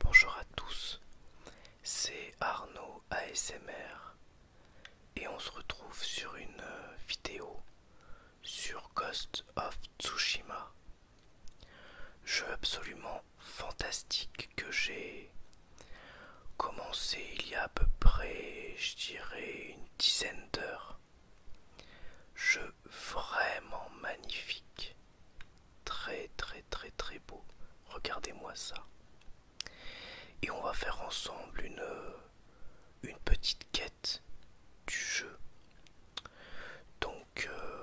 Bonjour à tous, c'est Arnaud ASMR et on se retrouve sur une euh, vidéo sur Ghost of Tsushima. Jeu absolument fantastique que j'ai Commencé il y a à peu près, je dirais, une dizaine d'heures. Jeu vraiment magnifique. Très très très très beau. Regardez-moi ça. Et on va faire ensemble une, euh, une petite quête du jeu. Donc euh,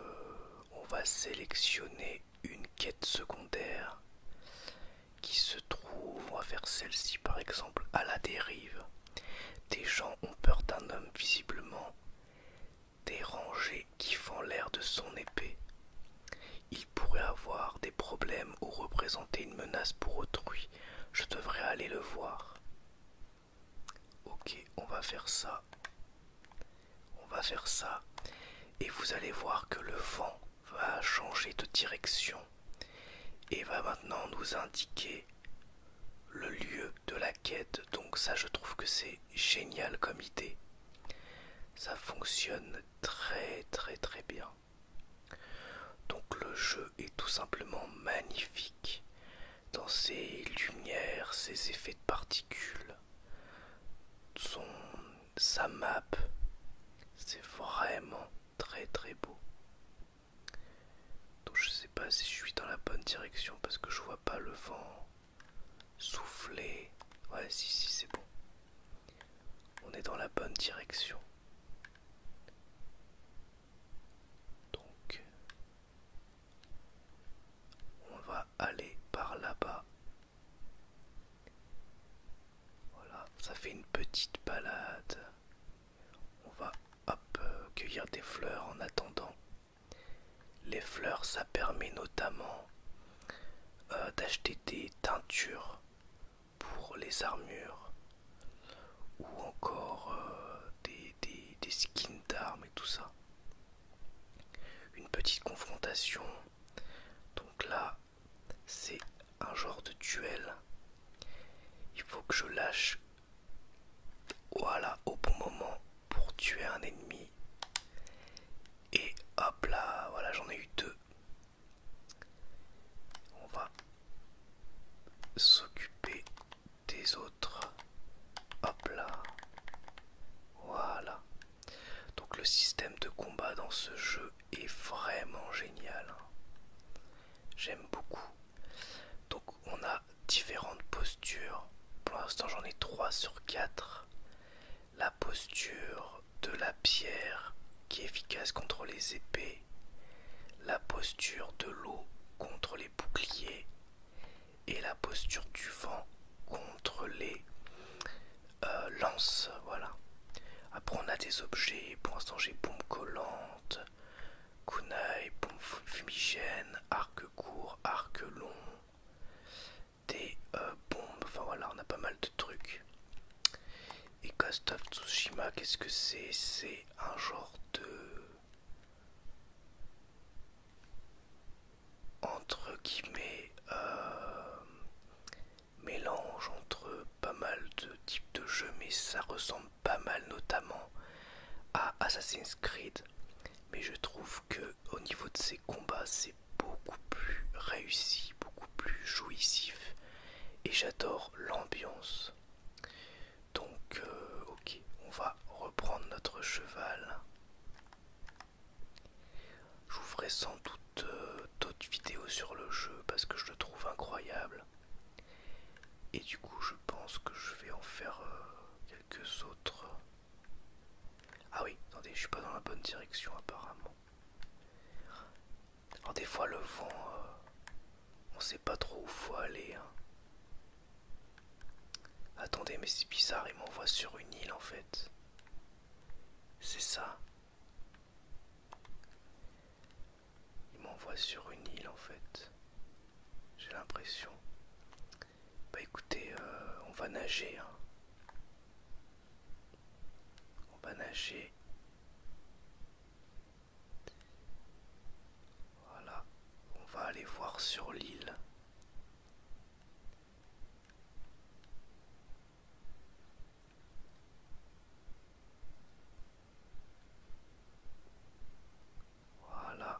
on va sélectionner une quête secondaire qui se trouvent faire celle-ci par exemple à la dérive. Des gens ont peur d'un homme visiblement dérangé qui fend l'air de son épée. Il pourrait avoir des problèmes ou représenter une menace pour autrui. Je devrais aller le voir. Ok, on va faire ça. On va faire ça. Et vous allez voir que le vent va changer de direction et va maintenant nous indiquer le lieu de la quête. Donc ça je trouve que c'est génial comme idée. Ça fonctionne très très très bien. Donc le jeu est tout simplement magnifique dans ses lumières, ses effets de particules, son, sa map. C'est vraiment très très beau. Donc je sais pas si je suis dans la bonne direction parce que je vois pas le vent souffler. Ouais si si c'est bon. On est dans la bonne direction. Donc on va aller par là-bas. Voilà, ça fait une petite balade. On va euh, cueillir des fleurs en attendant. Les fleurs, ça permet notamment euh, d'acheter des teintures pour les armures ou encore euh, des skins d'armes et tout ça. Une petite confrontation. Donc là, c'est un genre de duel. Il faut que je lâche voilà au bon moment pour tuer un ennemi. Et hop là, voilà j'en ai eu deux. On va s'occuper des autres. Hop là. Voilà. Donc le système de combat dans ce jeu est vraiment génial. Hein. J'aime beaucoup. Donc on a différentes postures. Pour l'instant j'en ai trois sur quatre. La posture de la pierre qui est efficace contre les épées. La posture de l'eau contre les boucliers. Et la posture du vent contre les euh, lance, voilà. Après on a des objets, pour l'instant j'ai bombe collante, kunai, bombes fumigène, arc court, arc long, des euh, bombes, enfin voilà, on a pas mal de trucs. Et Ghost of Tsushima, qu'est-ce que c'est C'est un genre de... Entre guillemets... Euh, mélange entre pas mal de types de jeux, mais ça ressemble pas mal notamment à Assassin's Creed. Mais je trouve que au niveau de ses combats, c'est beaucoup plus réussi, beaucoup plus jouissif, et j'adore l'ambiance. Donc, euh, ok, on va reprendre notre cheval. Je sans doute euh, d'autres vidéos sur le jeu parce que je le trouve incroyable. Et du coup, je pense que je vais en faire euh, quelques autres. Ah oui, attendez, je suis pas dans la bonne direction apparemment. Alors des fois le vent, euh, on sait pas trop où faut aller. Hein. Attendez, mais c'est bizarre, il m'envoie sur une île en fait. C'est ça. Il m'envoie sur une île en fait. J'ai l'impression. Bah écoutez, euh, on va nager. Hein. On va nager. Voilà. On va aller voir sur l'île. Voilà,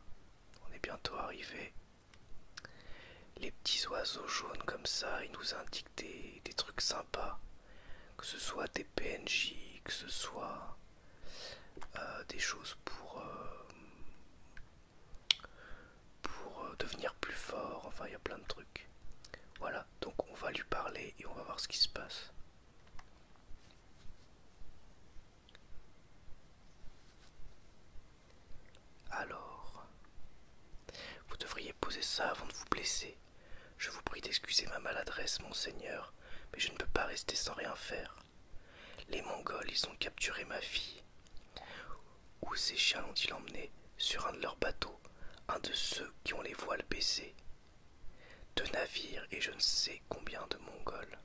on est bientôt arrivé. Les petits oiseaux jaunes comme ça, ils nous indiquent des, trucs sympas. Que ce soit des PNJ, que ce soit euh, des choses pour, euh, pour euh, devenir plus fort. Enfin, il y a plein de trucs. Voilà, donc on va lui parler et on va voir ce qui se passe. Alors, vous devriez poser ça avant de vous blesser. Je vous prie d'excuser ma maladresse, monseigneur, mais je ne peux pas rester sans rien faire. Les Mongols, ils ont capturé ma fille. Où ces chiens l'ont-ils emmenée Sur un de leurs bateaux, un de ceux qui ont les voiles baissées deux navires et je ne sais combien de Mongols.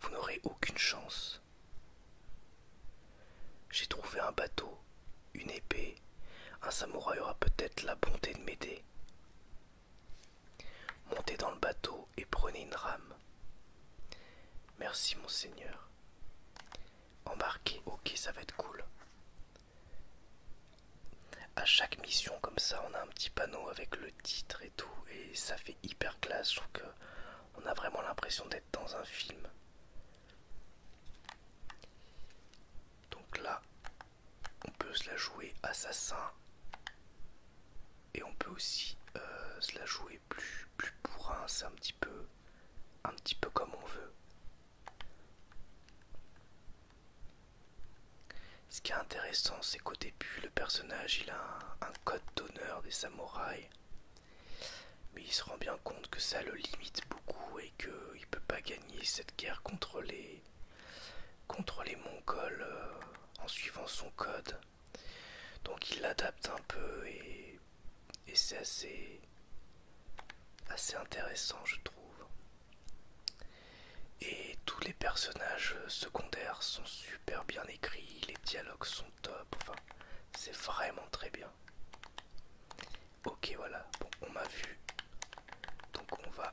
Vous n'aurez aucune chance. J'ai trouvé un bateau, une épée, un samouraï aura peut-être la bonté de m'aider. Montez dans le bateau et prenez une rame. Merci, mon seigneur. Embarquez, ok, ça va être cool. À chaque mission comme ça, on a un petit panneau avec le titre et tout, et ça fait hyper classe. Je trouve que on a vraiment l'impression d'être dans un film. Donc là, on peut se la jouer assassin, et on peut aussi euh, se la jouer plus plus bourrin. C'est un petit peu, un petit peu comme on veut. Ce qui est intéressant, c'est qu'au début, le personnage il a un, code d'honneur des samouraïs, mais il se rend bien compte que ça le limite beaucoup et qu'il ne peut pas gagner cette guerre contre les, contre les Mongols euh, en suivant son code. Donc il l'adapte un peu et c'est assez, assez intéressant je trouve. Et tous les personnages secondaires sont super bien écrits, les dialogues sont top, enfin c'est vraiment très bien. Ok voilà, bon on m'a vu, donc on va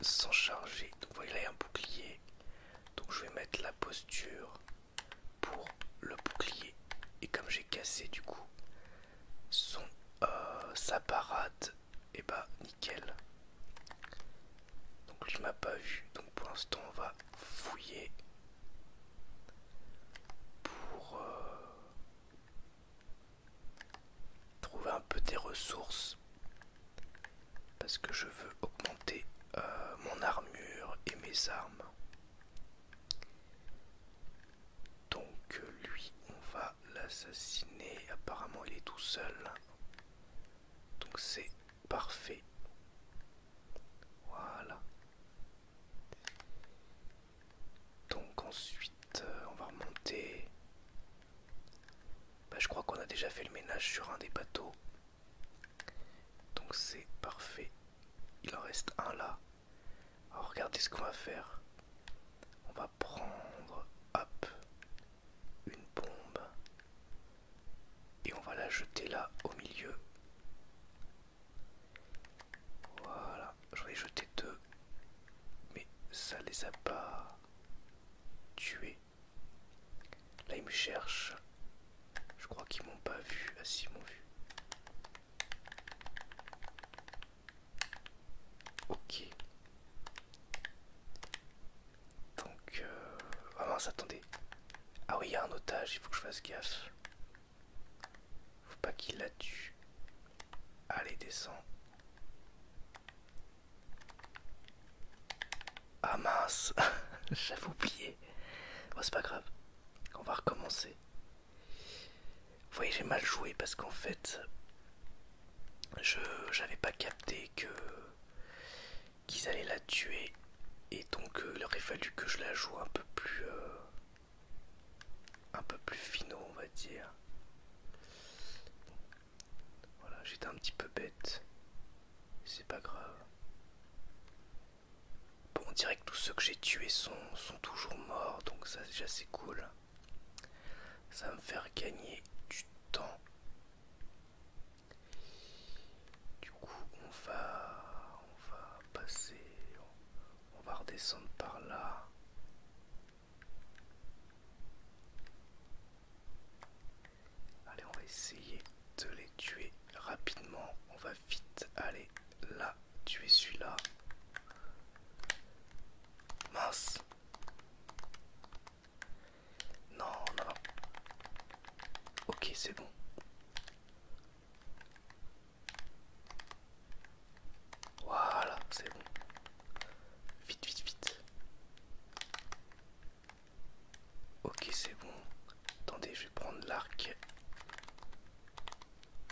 s'en charger. Donc là, il y a un bouclier, donc je vais mettre la posture pour le bouclier. Et comme j'ai cassé du coup son euh, sa et eh bah ben, nickel donc je m'a pas vu donc pour l'instant on va fouiller pour euh, trouver un peu des ressources parce que je veux augmenter euh, mon armure et mes armes donc lui, on va l'assassiner. Apparemment, il est tout seul. Donc c'est parfait. Voilà. Donc ensuite, euh, on va remonter. Bah, je crois qu'on a déjà fait le ménage sur un des bateaux. Donc c'est parfait. Il en reste un là. Alors oh, regardez ce qu'on va faire. On va prendre, une bombe et on va la jeter là au milieu. Voilà, j'en ai jeté deux, mais ça les a pas tués. Là ils me cherchent. Je crois qu'ils m'ont pas vu. Ah si, ils m'ont vu. Ok. Donc, euh... ah mince, attendez. Ah oui, il y a un otage, il faut que je fasse gaffe. Faut pas qu'il la tue. Allez, descends. Ah mince, j'avais oublié. Bon, c'est pas grave, on va recommencer. Vous voyez, j'ai mal joué parce qu'en fait, j'avais pas capté que qu'ils allaient la tuer et donc euh, il aurait fallu que je la joue un peu plus euh, un peu plus on va dire voilà j'étais un petit peu bête c'est pas grave bon on dirait que tous ceux que j'ai tués sont, sont toujours morts donc ça déjà c'est cool ça va me faire gagner du temps. Du coup, on va, on va passer, on va redescendre par là. Allez, on va essayer de les tuer rapidement. On va vite aller là tu es celui-là. Mince. Non, non, non. Ok, c'est bon. Voilà, c'est bon. Vite, vite, vite. Ok, c'est bon. Attendez, je vais prendre l'arc.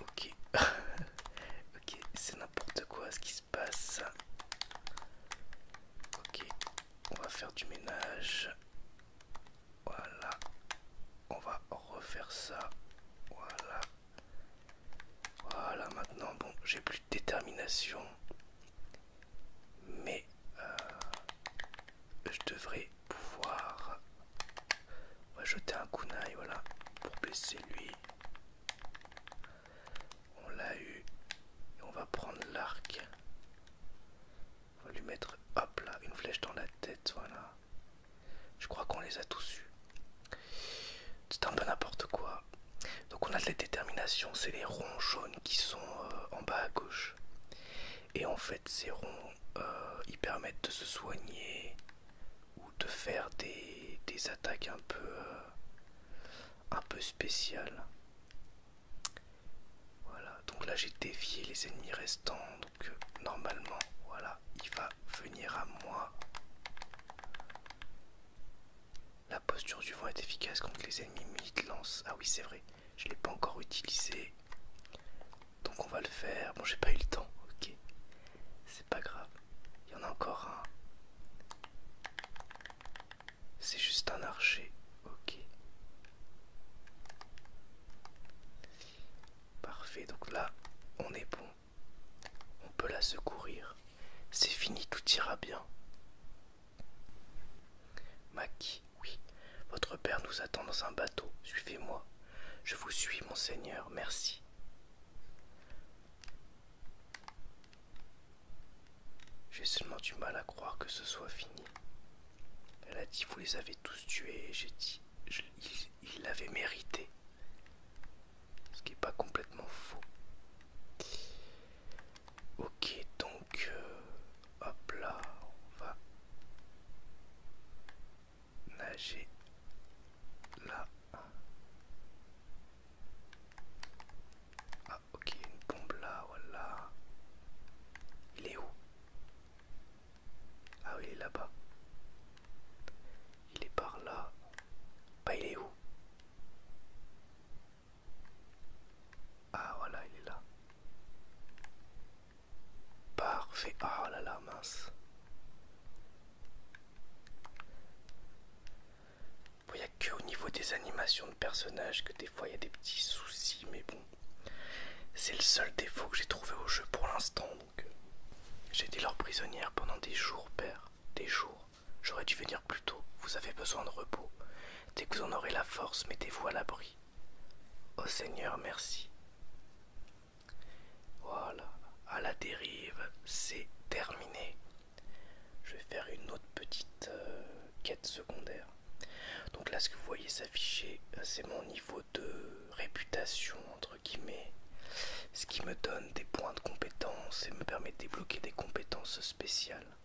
Ok, ok, c'est n'importe quoi ce qui se passe. Ok, on va faire du ménage. Voilà, on va refaire ça. Voilà, voilà. Maintenant, bon, j'ai plus de détermination, mais euh, je devrais pouvoir. On va jeter un kunai, voilà, pour blesser lui. On l'a eu. Et on va prendre l'arc. On va lui mettre, hop là, une flèche dans la tête, voilà. Je crois qu'on les a tous eus. C'est un peu n'importe quoi. Donc on a de la détermination, c'est les ronds jaunes qui sont euh, en bas à gauche. Et en fait, ces ronds, euh, ils permettent de se soigner, ou de faire des, des attaques un peu euh, un peu spéciales voilà donc là j'ai défié les ennemis restants donc euh, normalement voilà il va venir à moi la posture du vent est efficace contre les ennemis mid lance ah oui c'est vrai je l'ai pas encore utilisé donc on va le faire bon j'ai pas eu le temps ok c'est pas grave. Il y en a encore un. C'est juste un archer. Ok. Parfait. Donc là, on est bon. On peut la secourir. C'est fini, tout ira bien. Maki, oui. Votre père nous attend dans un bateau. Suivez-moi. Je vous suis, mon seigneur, Merci. J'ai seulement du mal à croire que ce soit fini. Elle a dit vous les avez tous tués, j'ai dit il l'avait mérité. Ce qui n'est pas complètement faux. Ok, donc euh, hop là, on va nager là. Ah. ok, une bombe là, voilà. Il est où Ah oui, il est là-bas. Il est par là. Bah, il est où Ah, voilà, il est là. Parfait. Ah oh là là, mince il n'y a que au niveau des animations de personnages que des fois il y a des petits soucis, mais bon, c'est le seul défaut que j'ai trouvé au jeu pour l'instant. Euh, j'ai été leur prisonnière pendant des jours, père, des jours. J'aurais dû venir plus tôt. Vous avez besoin de repos. Dès que vous en aurez la force, mettez-vous à l'abri. Au oh, Seigneur, merci. Voilà, à la dérive, c'est terminé. Je vais faire une autre petite euh, quête secondaire. Donc là, ce que vous voyez s'afficher, euh, c'est mon niveau de réputation, entre guillemets. Ce qui me donne des points de compétence et me permet de débloquer des compétences spéciales.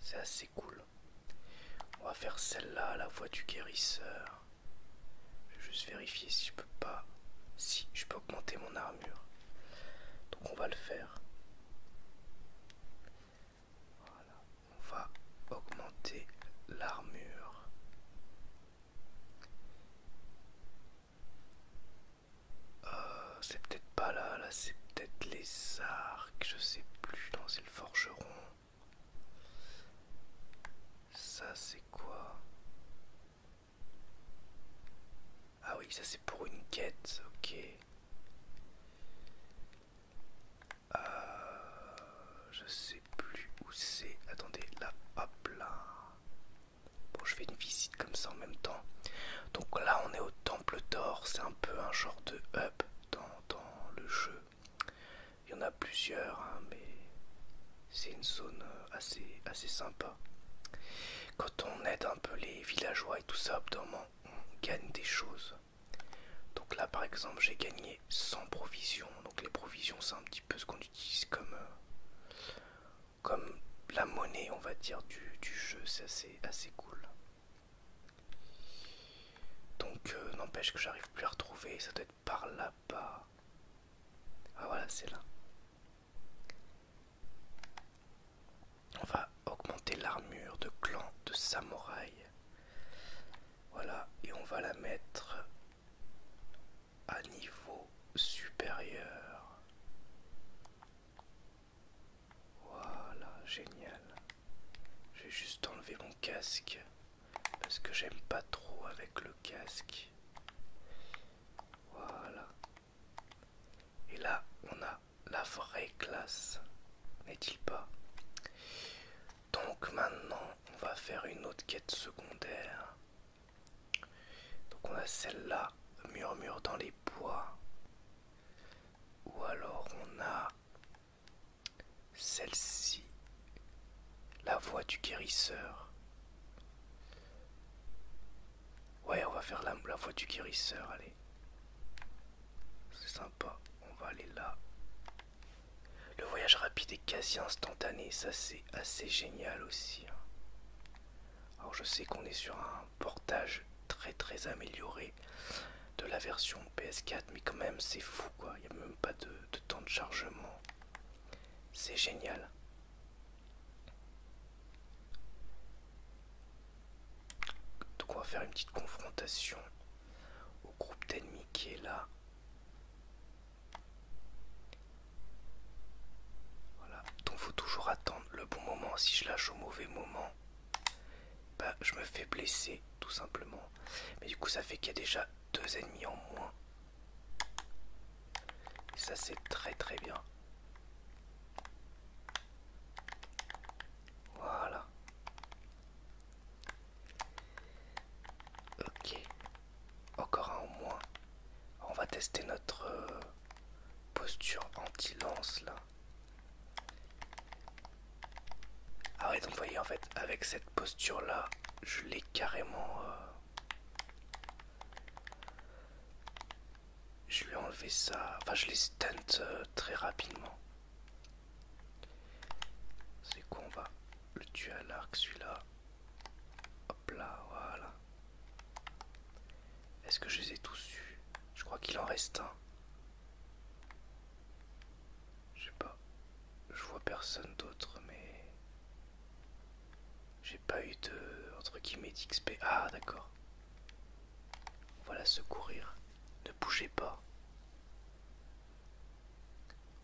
C'est assez cool. On va faire celle-là, la voie du guérisseur. Je vais juste vérifier si je peux pas. Si je peux augmenter mon armure. Donc on va le faire. Voilà. On va augmenter l'armure. Euh, c'est peut-être pas là, là c'est peut-être les arcs, je sais plus, Dans c'est le forgeron. Ça c'est quoi ah oui, ça c'est pour une quête, ok. Euh, je sais plus où c'est. Attendez, là, hop là. Bon, je fais une visite comme ça en même temps. Donc là, on est au temple d'or. C'est un peu un genre de hub dans le jeu. Il y en a plusieurs, hein, mais c'est une zone euh, assez, assez sympa. Quand on aide un peu les villageois et tout ça, on gagne des choses. Donc là, par exemple, j'ai gagné 100 provisions. Donc les provisions, c'est un petit peu ce qu'on utilise comme, euh, comme la monnaie, on va dire, du, jeu. C'est assez, assez cool. Donc euh, n'empêche que j'arrive plus à retrouver, ça doit par là-bas. Ah voilà, c'est là. On va augmenter l'armure de clan de samouraï. Voilà, et on va la mettre à niveau supérieur. Voilà, génial. Je vais juste enlever mon casque parce que j'aime pas trop avec le casque. Voilà. Et là, on a la vraie classe, n'est-il pas Donc maintenant, on va faire une autre quête secondaire. Donc on a celle-là, murmure dans les bois. Ou alors on a celle-ci, la voix du guérisseur. Ouais, on va faire la, la voix du guérisseur, allez. C'est sympa, on va aller là. Le voyage rapide est quasi instantané, ça c'est assez génial aussi. Hein. Alors je sais qu'on est sur un portage très très amélioré de la version PS4, mais quand même c'est fou quoi, il n'y a même pas de temps de chargement. C'est génial. Donc on va faire une petite confrontation au groupe d'ennemis qui est là. Voilà, donc faut toujours attendre le bon moment. Si je lâche au mauvais moment, bah, je me fais blesser tout simplement. Mais du coup ça fait qu'il y a déjà deux ennemis en moins ça c'est très très bien. Voilà. Ok. Encore un au moins. On va tester notre euh, posture anti-lance là. Ah ouais, donc vous voyez en fait avec cette posture là, je l'ai carrément... Euh, je lui ai enlevé ça. Enfin, je les stunt euh, très rapidement. C'est quoi va le tuer à l'arc, celui-là. Hop là, voilà. Est-ce que je les ai tous su Je crois qu'il en reste un. Je sais pas. Je vois personne d'autre, mais. J'ai pas eu de. entre guillemets d'XP. Ah, d'accord. Voilà secourir. Ne bougez pas.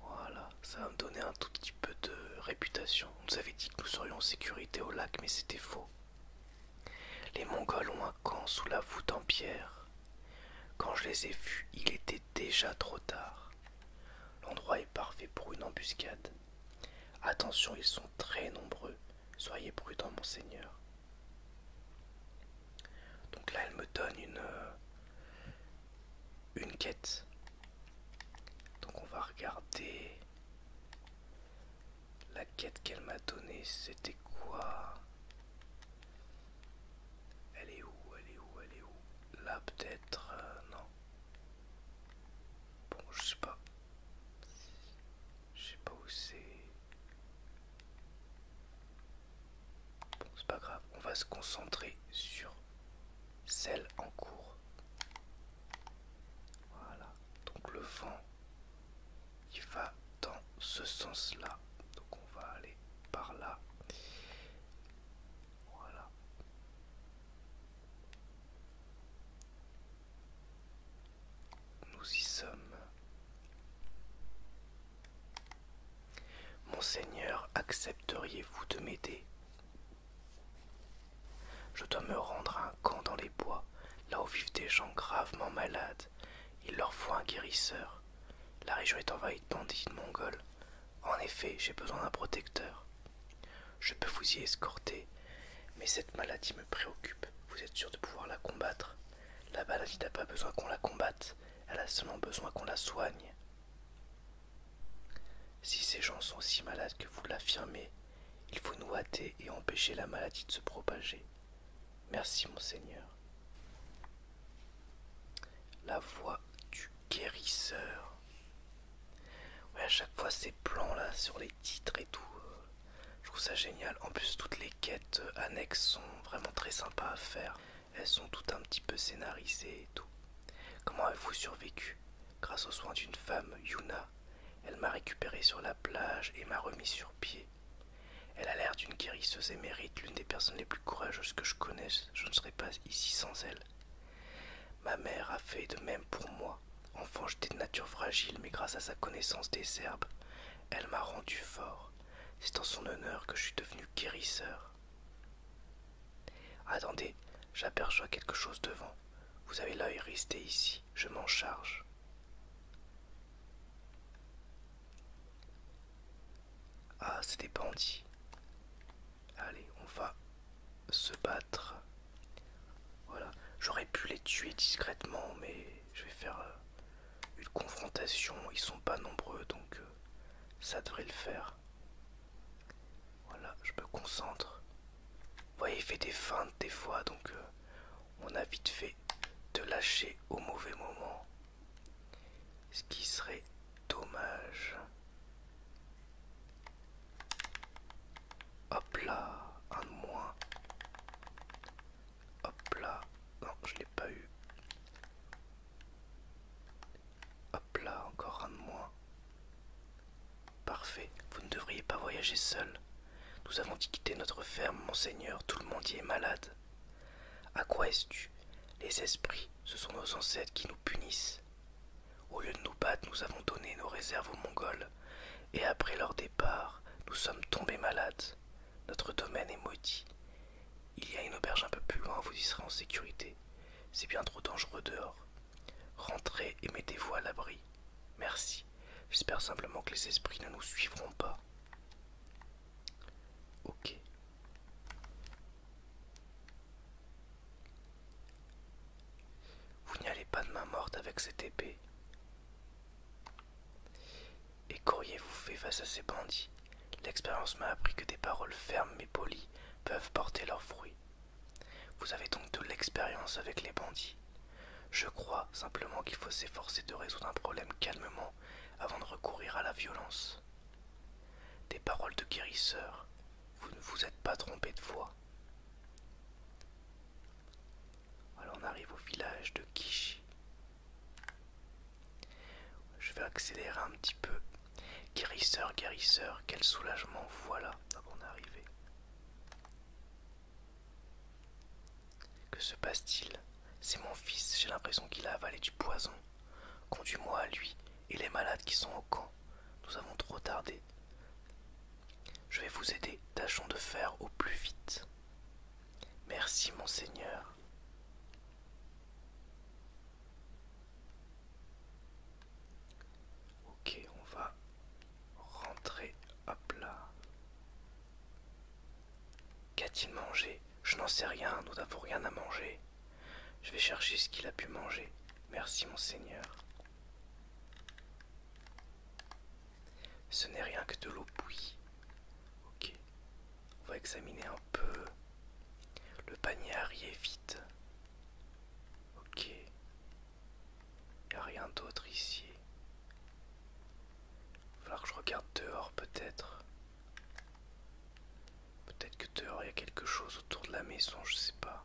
Voilà, ça va me donner un tout petit peu de réputation. On nous avait dit que nous serions en sécurité au lac, mais c'était faux. Les Mongols ont un camp sous la voûte en pierre. Quand je les ai vus, il était déjà trop tard. L'endroit est parfait pour une embuscade. Attention, ils sont très nombreux. Soyez prudent, monseigneur. Donc là, elle me donne une, euh, une quête. Donc on va regarder la quête qu'elle m'a donnée. C'était quoi Elle est où Elle est où Elle est où Là peut-être euh, Non. Bon, je sais pas. Je sais pas où c'est. Bon, c'est pas grave. On va se concentrer sur celle en cours. Voilà. Donc le vent, il va dans ce sens-là. Donc on va aller par là. Voilà. Nous y sommes. Monseigneur, accepteriez-vous de m'aider Je dois me rendre à un camp dans les bois, là où vivent des gens gravement malades. Il leur faut un guérisseur. La région est envahie de bandits mongols. En effet, j'ai besoin d'un protecteur. Je peux vous y escorter, mais cette maladie me préoccupe. Vous êtes sûr de pouvoir la combattre La maladie n'a pas besoin qu'on la combatte, elle a seulement besoin qu'on la soigne. Si ces gens sont si malades que vous l'affirmez, il faut nous hâter et empêcher la maladie de se propager. Merci, mon seigneur. La voix du guérisseur. Ouais, à chaque fois ces plans là sur les titres et tout, euh, je trouve ça génial. En plus, toutes les quêtes euh, annexes sont vraiment très sympas à faire. Elles sont toutes un petit peu scénarisées et tout. Comment avez-vous survécu Grâce aux soins d'une femme, Yuna. Elle m'a récupéré sur la plage et m'a remis sur pied. Elle a l'air d'une guérisseuse émérite, l'une des personnes les plus courageuses que je connaisse. Je ne serais pas ici sans elle. Ma mère a fait de même pour moi. Enfant, j'étais de nature fragile, mais grâce à sa connaissance des herbes, elle m'a rendu fort. C'est en son honneur que je suis devenu guérisseur. Attendez, j'aperçois quelque chose devant. Vous avez l'œil, resté ici, je m'en charge. Ah, c'est des bandits. Allez, on va se battre. Voilà. J'aurais pu les tuer discrètement, mais je vais faire euh, une confrontation. Ils sont pas nombreux, donc euh, ça devrait le faire. Voilà, je me concentre. Vous voyez, il fait des feintes des fois, donc euh, on a vite fait de lâcher au mauvais moment. Ce qui serait dommage. Hop là, un de moins. Hop là, non, je l'ai pas eu. Hop là, encore un de moins. Parfait, vous ne devriez pas voyager seul. Nous avons dit quitter notre ferme, monseigneur, tout le monde y est malade. À quoi es-tu Les esprits, ce sont nos ancêtres qui nous punissent. Au lieu de nous battre, nous avons donné nos réserves aux Mongols, et après leur départ, nous sommes tombés malades. Notre domaine est maudit. Il y a une auberge un peu plus loin, vous y serez en sécurité. C'est bien trop dangereux dehors. Rentrez et mettez-vous à l'abri. Merci. J'espère simplement que les esprits ne nous suivront pas. Ok. Vous n'y allez pas de main morte avec cette épée. Et qu'auriez-vous fait face à ces bandits L'expérience m'a appris que des paroles fermes mais polies peuvent porter leurs fruits. Vous avez donc de l'expérience avec les bandits. Je crois simplement qu'il faut s'efforcer de résoudre un problème calmement avant de recourir à la violence. Des paroles de guérisseur, vous ne vous êtes pas trompé de voix. Alors on arrive au village de Kishi. Je vais accélérer un petit peu. Guérisseur, guérisseur, quel soulagement, voilà. on est arrivé. Que se passe-t-il C'est mon fils, j'ai l'impression qu'il a avalé du poison. Conduis-moi à lui, et les malades qui sont au camp. Nous avons trop tardé. Je vais vous aider, tâchons de faire au plus vite. Merci, monseigneur. Ok, on va rentrer. Hop là. Qu'a-t-il mangé Je n'en sais rien, nous n'avons rien à manger. Je vais chercher ce qu'il a pu manger. Merci, monseigneur. Ce n'est rien que de l'eau bouillie. Ok. On va examiner un peu le panier arrière est Ok. Il n'y a rien d'autre ici. Il va falloir que je regarde dehors peut-être. Peut-être que dehors il y a quelque chose autour de la maison, je sais pas.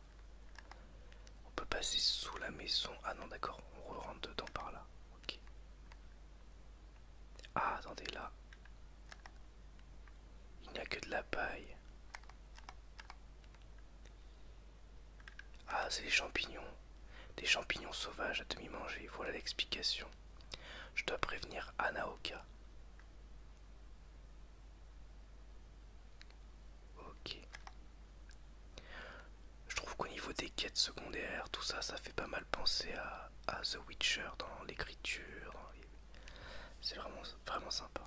On peut passer sous la maison. Ah non, d'accord, on rentre dedans par là. Ah, attendez, là. Il n'y a que de la paille. Ah, c'est des champignons. Des champignons sauvages à demi-manger. Voilà l'explication. Je dois prévenir Anaoka. Ok. Je trouve qu'au niveau des quêtes secondaires, tout ça, ça fait pas mal penser à, The Witcher dans l'écriture. C'est vraiment, vraiment sympa.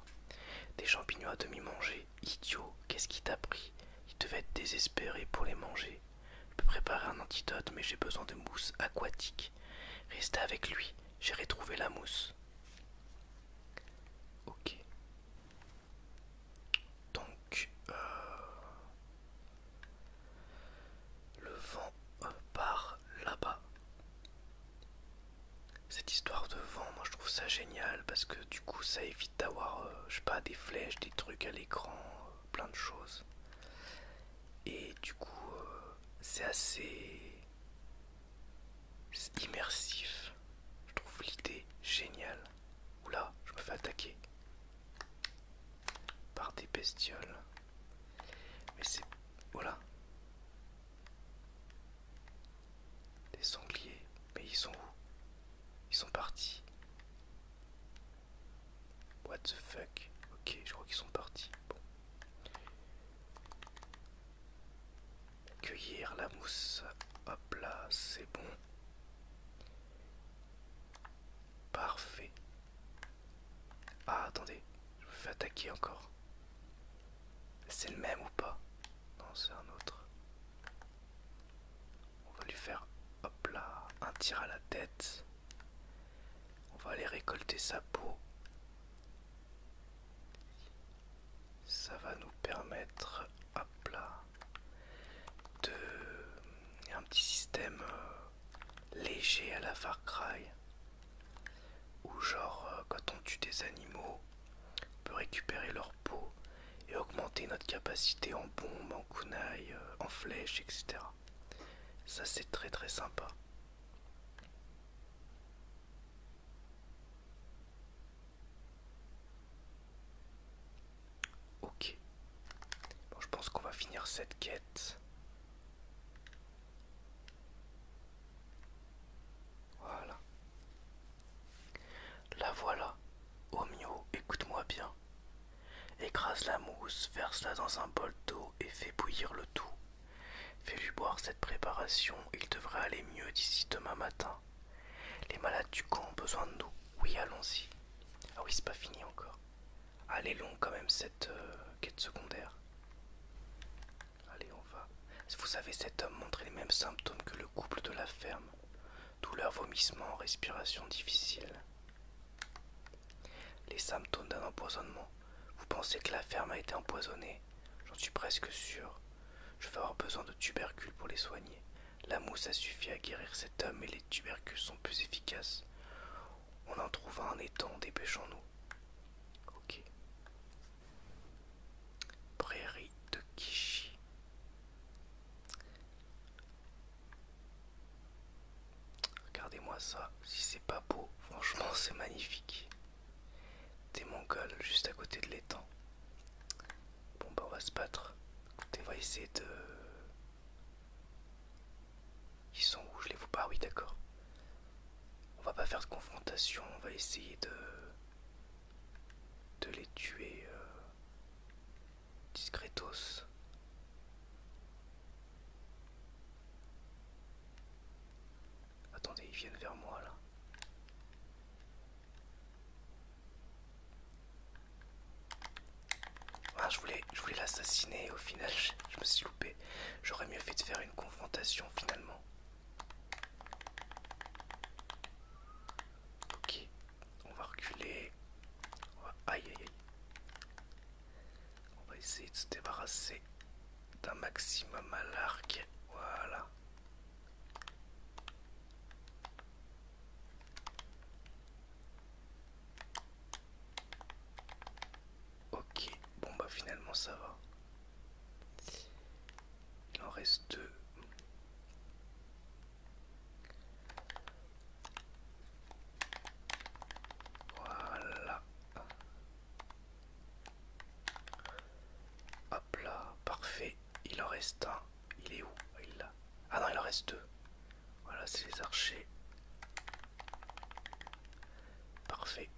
Des champignons à demi mangés. Idiot, qu'est-ce qui t'a pris Il devait être désespéré pour les manger. Je peux préparer un antidote, mais j'ai besoin de mousse aquatique. Restez avec lui, j'ai retrouvé la mousse. Ok. Donc, euh, le vent par euh, part là-bas. Cette histoire de vent, moi je trouve ça génial parce que du coup ça évite d'avoir, euh, je sais pas, des flèches, des trucs à l'écran, plein de choses. Et du coup, c'est assez immersif. Je trouve l'idée géniale. Oula, je me fais attaquer par des bestioles. Mais c'est... Voilà. Des sangliers. Mais ils sont où Ils sont partis. What the fuck Ok, je crois qu'ils sont partis cueillir la mousse. Hop là, c'est bon. Parfait. Ah, attendez, je me fais attaquer encore. C'est le même ou pas Non, c'est un autre. On va lui faire, hop là, un tir à la tête. On va aller récolter sa peau ça va nous permettre à plat, de un petit système euh, léger à la Far Cry où genre euh, quand on tue des animaux on peut récupérer leur peau et augmenter notre capacité en bombes, en kunai, euh, en flèches, etc. Ça c'est très très sympa. Ok. je pense qu'on va finir cette quête. Voilà. La voilà. Omio, écoute-moi bien. Écrase la mousse, verse-la dans un bol d'eau et fais bouillir le tout. Fais-lui boire cette préparation il devrait aller mieux d'ici demain matin. Les malades du camp ont besoin de nous. Oui, allons-y. Ah oui, c'est pas fini encore. Allez, long quand même cette euh, quête secondaire. Allez, on va. Vous savez, cet homme montrait les mêmes symptômes que le couple de la ferme. Douleur, vomissement, respiration difficile. Les symptômes d'un empoisonnement. Vous pensez que la ferme a été empoisonnée J'en suis presque sûr. Je vais avoir besoin de tubercules pour les soigner. La mousse a suffi à guérir cet homme et les tubercules sont plus efficaces. On en trouve un étang, dépêchons-nous. Ok. Prairie de Kishi. Regardez-moi ça, si c'est pas beau, franchement c'est magnifique des mongols juste à côté de l'étang. Bon bah on va se battre. Écoutez, on va essayer de... Ils sont où Je les vois pas, ah oui d'accord. On va pas faire de confrontation, on va essayer de... de les tuer euh, discretos. Attendez, ils viennent vers moi là. Ah, je voulais, je voulais l'assassiner au final je, me suis loupé. J'aurais mieux fait de faire une confrontation finalement. Ok, on va reculer. On va... Aïe aïe aïe. On va essayer de se débarrasser d'un maximum à l'arc. Voilà. Ok, bon bah finalement ça va. Il en reste deux. Voilà. Hop là, parfait il en reste un. Il est où ah, Il là. Ah non, il en reste deux. Voilà, c'est les archers. Parfait.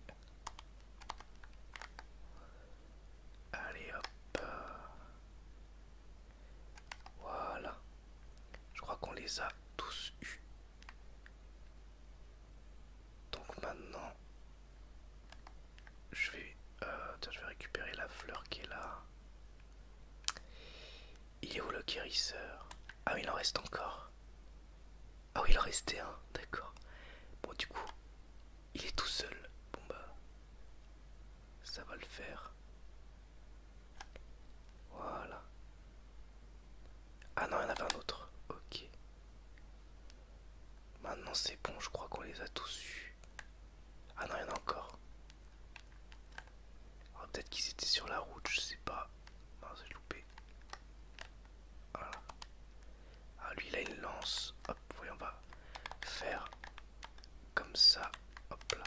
Allez hop. Voilà. Je crois qu'on les a tous eus. Donc maintenant, je vais, euh, je vais récupérer la fleur qui est là. Il est où le guérisseur Ah, il en reste encore. Ah oui, il en restait un, d'accord. Bon, du coup, il est tout seul. Bon, bah, ça va le faire. Voilà. Ah non, il y en avait un autre. Ok. Maintenant c'est bon, je crois qu'on les a tous eu. Ah non, il y en a encore. Ah, peut-être qu'ils étaient sur la route, je sais pas. Ah, j'ai loupé. Voilà. Ah, lui, il a une lance. Hop, voyons, on va faire comme ça. Hop là.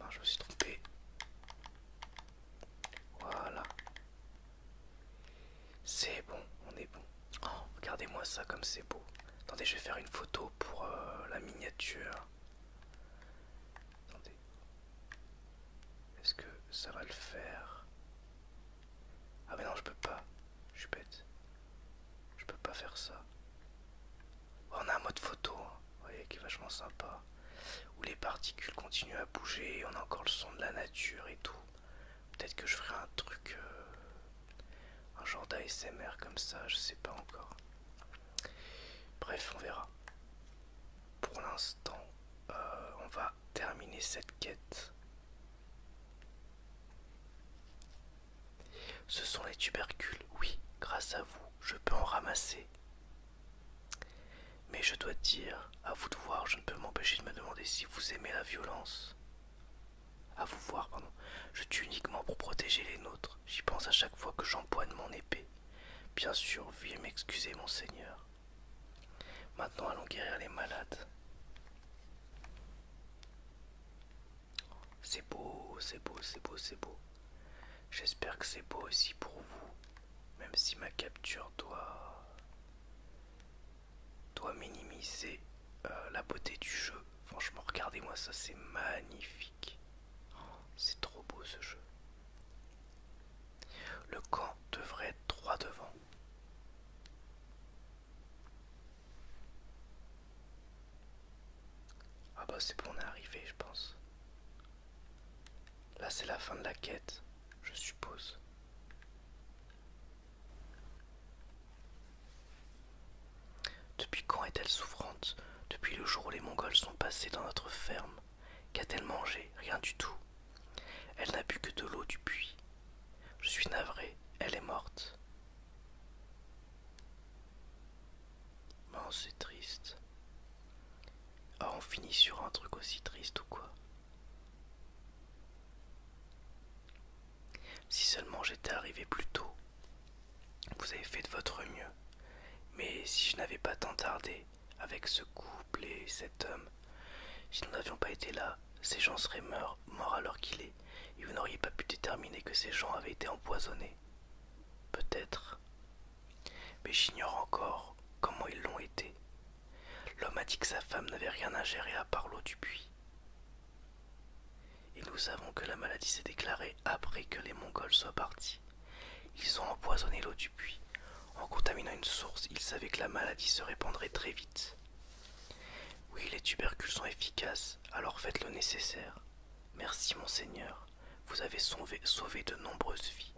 Non, je me suis trompé. Voilà. C'est bon, on est bon. Oh, regardez-moi ça comme c'est beau. Attendez, je vais faire une photo pour euh, la miniature. Attendez. Est-ce que ça va le faire Ah mais non, je peux pas. Je suis bête. Je peux pas faire ça. Oh, on a un mode photo, hein. vous voyez, qui est vachement sympa. Où les particules continuent à bouger, on a encore le son de la nature et tout. Peut-être que je ferai un truc, euh, un genre d'ASMR comme ça, je sais pas encore. Bref, on verra. Pour l'instant, euh, on va terminer cette quête. Ce sont les tubercules, oui, grâce à vous, je peux en ramasser. Mais je dois dire, à vous de voir, je ne peux m'empêcher de me demander si vous aimez la violence. À vous voir, pardon. Je tue uniquement pour protéger les nôtres. J'y pense à chaque fois que j'empoigne mon épée. Bien sûr, veuillez m'excuser, mon seigneur. Maintenant, allons guérir les malades. C'est beau, c'est beau, c'est beau, c'est beau. J'espère que c'est beau aussi pour vous, même si ma capture doit doit minimiser euh, la beauté du jeu. Franchement, regardez-moi ça, c'est magnifique. Oh, c'est trop beau ce jeu. Le camp devrait être droit devant. Ah bah c'est bon, on est arrivé, je pense. Là, c'est la fin de la quête, je suppose. Depuis quand est-elle souffrante Depuis le jour où les Mongols sont passés dans notre ferme. Qu'a-t-elle mangé Rien du tout. Elle n'a bu que de l'eau du puits. Je suis navré, elle est morte. Oh, c'est triste. Ah, on finit sur un truc aussi triste ou quoi si seulement j'étais arrivé plus tôt, vous avez fait de votre mieux. Mais si je n'avais pas tant tardé avec ce couple et cet homme, si nous n'avions pas été là, ces gens seraient morts, morts alors qu'il est, et vous n'auriez pas pu déterminer que ces gens avaient été empoisonnés. Peut-être. Mais j'ignore encore comment ils l'ont été, L'homme a dit que sa femme n'avait rien ingéré à part l'eau du puits. Et nous savons que la maladie s'est déclarée après que les Mongols soient partis. Ils ont empoisonné l'eau du puits. En contaminant une source, ils savaient que la maladie se répandrait très vite. Oui, les tubercules sont efficaces, alors faites le nécessaire. Merci, mon seigneur. Vous avez sauvé de nombreuses vies.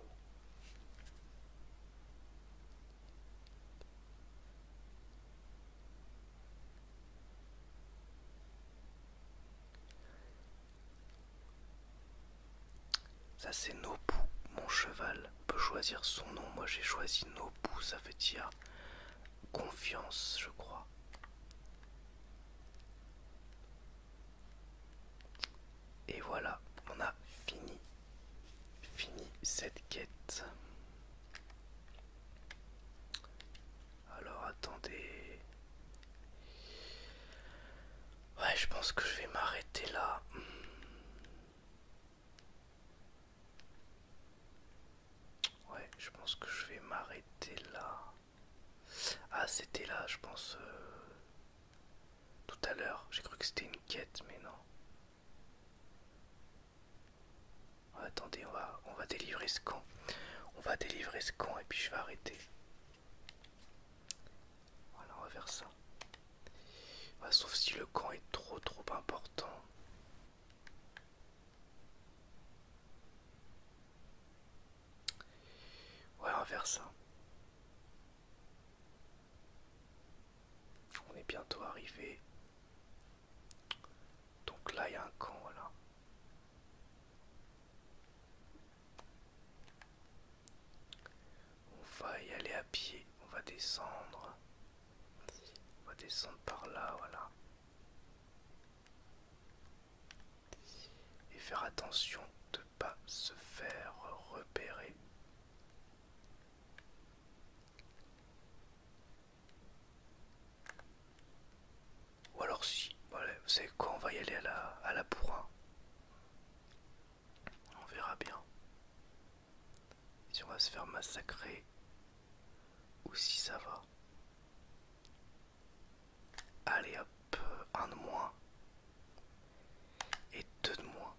Ça c'est Nobu, mon cheval. peut choisir son nom. Moi j'ai choisi Nobu, ça veut dire confiance, je crois. Et voilà, on a fini Fini cette quête. Alors attendez. Ouais, je pense que je vais m'arrêter là. Ouais, je pense que je vais m'arrêter là. Ah, c'était là, je pense. Euh, tout à l'heure, j'ai cru que c'était une quête, mais non. Oh, attendez, on va, délivrer ce camp. On va délivrer ce camp et puis je vais arrêter. Voilà, on va faire ça. Bah, sauf si le camp est trop trop important. Ouais, on va faire ça. On est bientôt arrivé donc là, il y a un camp, voilà. On va y aller à pied, on va descendre. On va descendre par là, voilà. Et faire attention de ne pas se faire repérer. Ou alors si, vous savez quoi, on va y aller à la, à la bourrin. On verra bien. Si on va se faire massacrer ou si ça va. Allez hop, un de moins. Et deux de moins.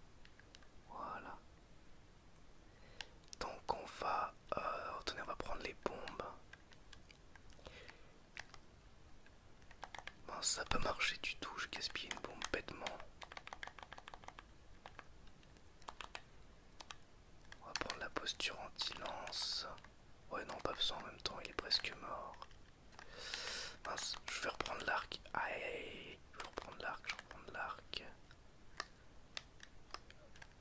Voilà. Donc on va... Euh, on va prendre les bombes. Bon, ça peut marcher du tout, je gaspille une bombe bêtement. On va prendre la posture anti-lance. Ouais non, pas besoin en même temps, il est presque mort. je vais reprendre l'arc. Aïe, je vais reprendre l'arc, je vais reprendre l'arc.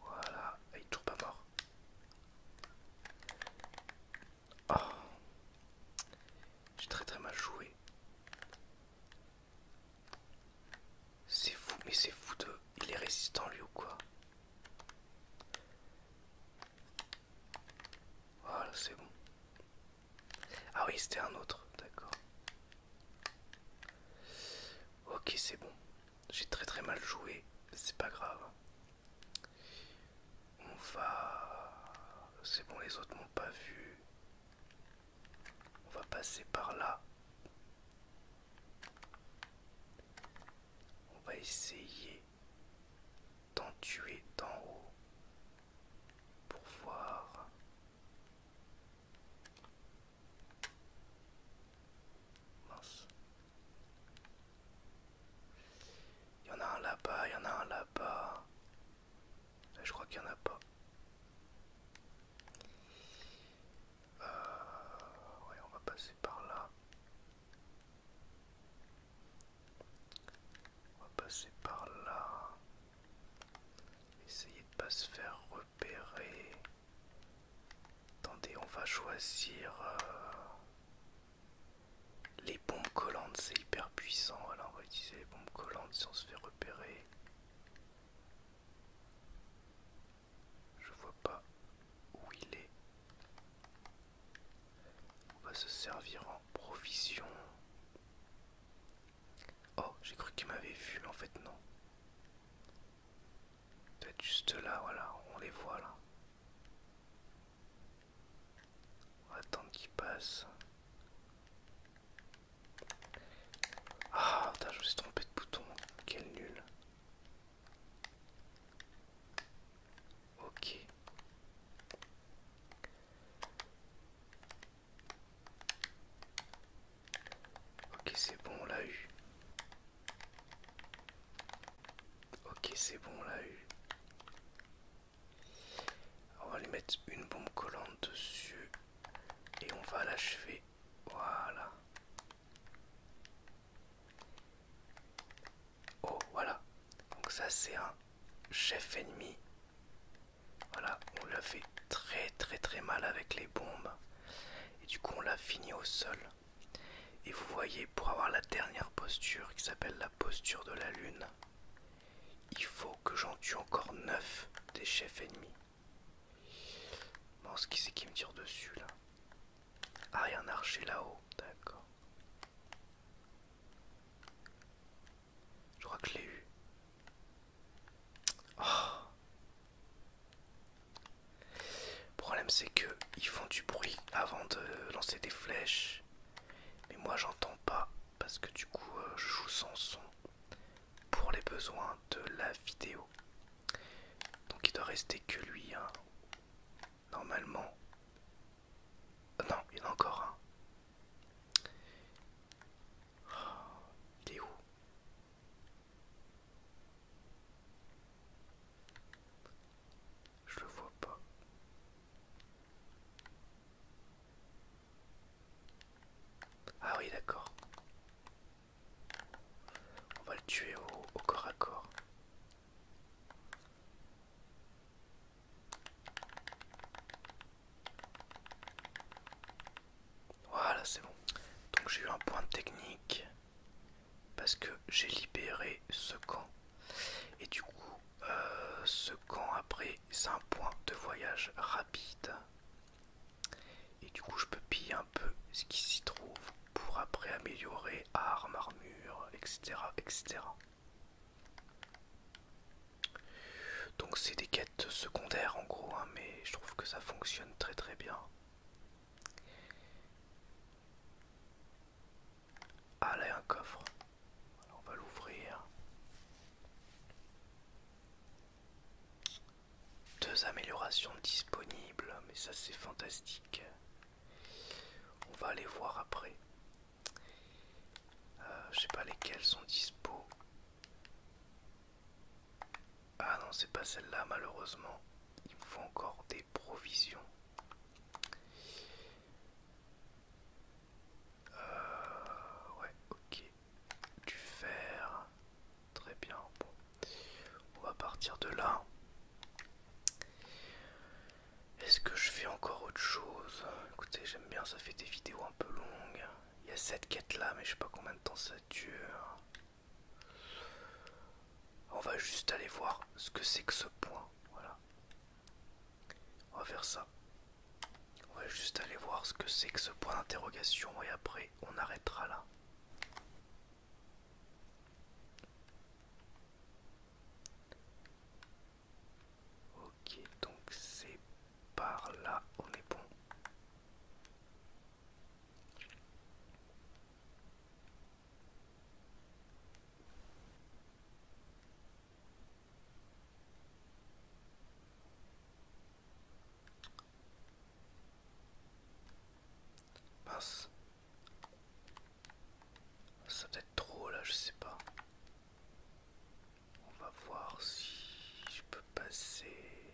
Voilà, ah, il est toujours pas mort. Oh. J'ai très très mal joué. C'est fou, mais c'est fou de... Il est résistant lui ou quoi Voilà, c'est bon. Ah oui, c'était un autre, d'accord. Ok, c'est bon. J'ai très très mal joué. C'est pas grave. On va... C'est bon, les autres m'ont pas vu. On va passer par là. On va essayer d'en tuer d'en haut pour voir il y en a un là-bas, il y en a un là-bas. je crois qu'il n'y en a pas. Euh, on va passer par là. On va passer par là. Essayez de pas se faire Attendez, on va choisir euh, les bombes collantes, c'est hyper puissant. Alors on va utiliser les bombes collantes si on se fait repérer. Je vois pas où il est. On va se servir en provision. Oh, j'ai cru qu'il m'avait vu, en fait non doit être juste là, voilà, on les voit là. On attendre qu'ils passent. Ah, putain, je me suis trompé de bouton. Quel nul. Ok. Ok, c'est bon, on l'a eu. Ok, c'est bon, on l'a eu. On va lui mettre une bombe collante dessus et on va l'achever. Voilà. Oh, voilà. Donc ça, c'est un chef ennemi. Voilà, on l'a fait très très très mal avec les bombes et du coup on l'a fini au sol et vous voyez pour avoir la dernière posture qui s'appelle la posture de la lune il faut que j'en tue encore 9 des chefs ennemis bon ce qui c'est qui me tire dessus là ah il a un archer là-haut d'accord je crois que eu le problème c'est qu'ils font du bruit avant de lancer des flèches. Mais moi j'entends pas parce que du coup euh, je joue sans son pour les besoins de la vidéo. Donc il doit rester que lui. Hein. Normalement. Euh, non, il y en a encore un. Oh, T'es où Je le vois pas. Ah oui, d'accord. On va le tuer au corps à corps. Voilà, c'est bon. Donc j'ai eu un point technique parce que j'ai libéré ce camp. Et du coup, euh, ce camp après, c'est un point de voyage rapide. Et du coup, je peux piller un peu ce qui s'y trouve pour après améliorer armes, armures, etc. etc. Donc c'est des quêtes secondaires en gros, hein, mais je trouve que ça fonctionne très très bien. Ah là un coffre. on va l'ouvrir. Deux améliorations disponibles, mais ça c'est fantastique. On va aller voir après. Euh, je sais pas lesquelles sont dispo. Ah non, c'est pas celle-là, malheureusement. Il me faut encore des provisions. Euh, ouais, ok. Du fer. Très bien. On va partir de là. Est-ce que je fais encore autre chose Écoutez, j'aime bien, ça fait des vidéos un peu longues. Il y a cette quête là, mais je sais pas combien de temps ça dure. On va juste aller voir ce que c'est que ce point. Voilà. On va faire ça. On va juste aller voir ce que c'est que ce point d'interrogation et après on arrêtera là. Ok, donc c'est par là, on est bon passe Ça peut être trop là, je sais pas. On va voir si je peux passer.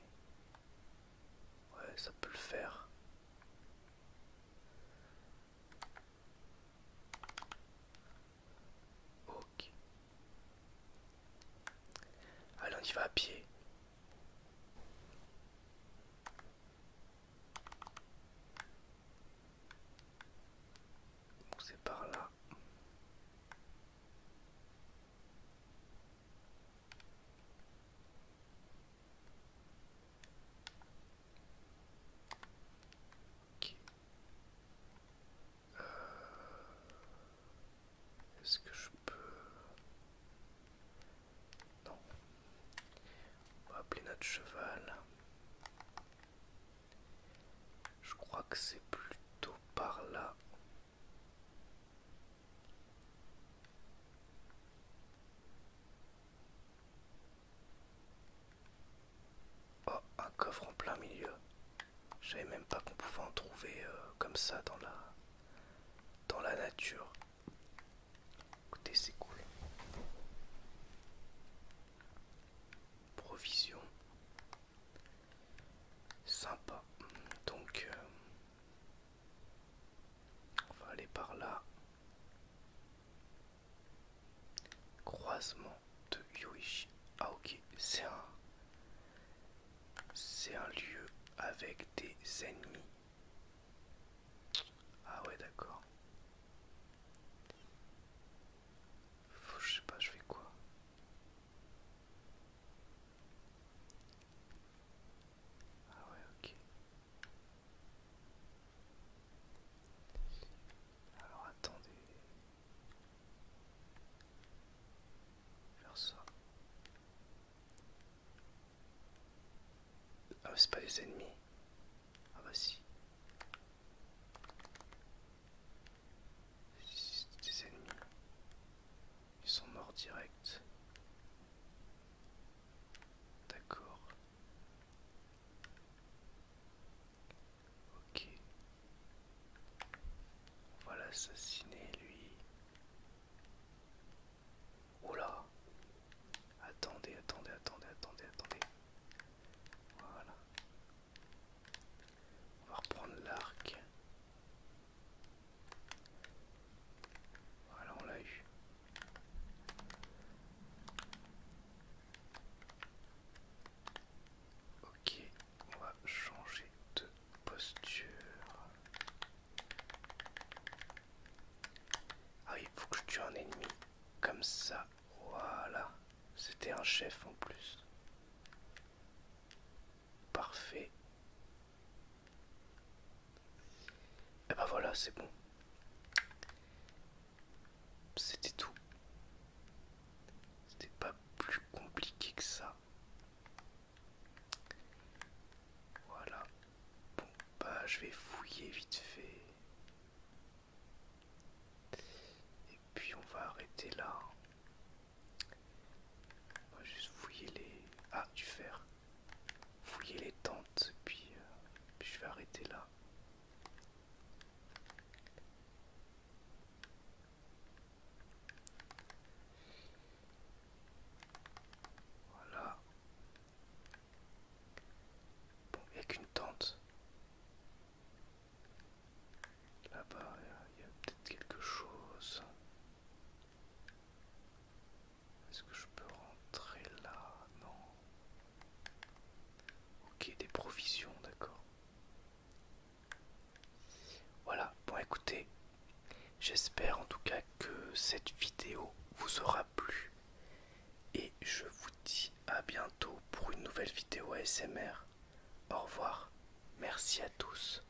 Ouais, ça peut le faire. Ok. Allez, on y va à pied. c'est par là. OK euh, Est-ce que je peux... Non. On va appeler notre cheval. Je crois que c'est plutôt par là Oh, un coffre en plein milieu. Je savais même pas qu'on pouvait en trouver euh, comme ça dans la, dans la nature. Écoutez, c'est cool. Provision. Sympa. Donc, euh, on va aller par là. Croisement de Yuichi. Ah ok, c'est un... C'est un lieu avec des ennemis. Ah ouais d'accord. Je sais pas, je fais quoi ah ouais, ok. Alors attendez. Faire ça. Ah, c'est pas des ennemis. Ah bah si. C'est des ennemis. Ils sont morts direct. D'accord. Ok. On va l'assassiner lui. Oh là Attendez, attendez, attendez, attendez, attendez. Voilà. On va reprendre l'arc. Voilà, on l'a eu. Ok, on va changer de posture. Ah il faut que je tue un ennemi. Comme ça, voilà. C'était un chef en plus. Parfait. Et eh bah ben voilà, c'est bon. C'était tout. C'était pas plus compliqué que ça. Voilà. Bon, bah je vais fouiller vite fait. Et puis on va arrêter là. On va juste fouiller les... Ah, du fer fouiller les tentes, euh, puis, je vais arrêter là. Voilà. Bon, il n'y a qu'une tente. Là-bas, il y a peut-être quelque chose. Est-ce que je peux rentrer là Non. Ok, des provisions, d'accord. Voilà, bon écoutez, j'espère en tout cas que cette vidéo vous aura plu. Et je vous dis à bientôt pour une nouvelle vidéo ASMR. Au revoir, merci à tous.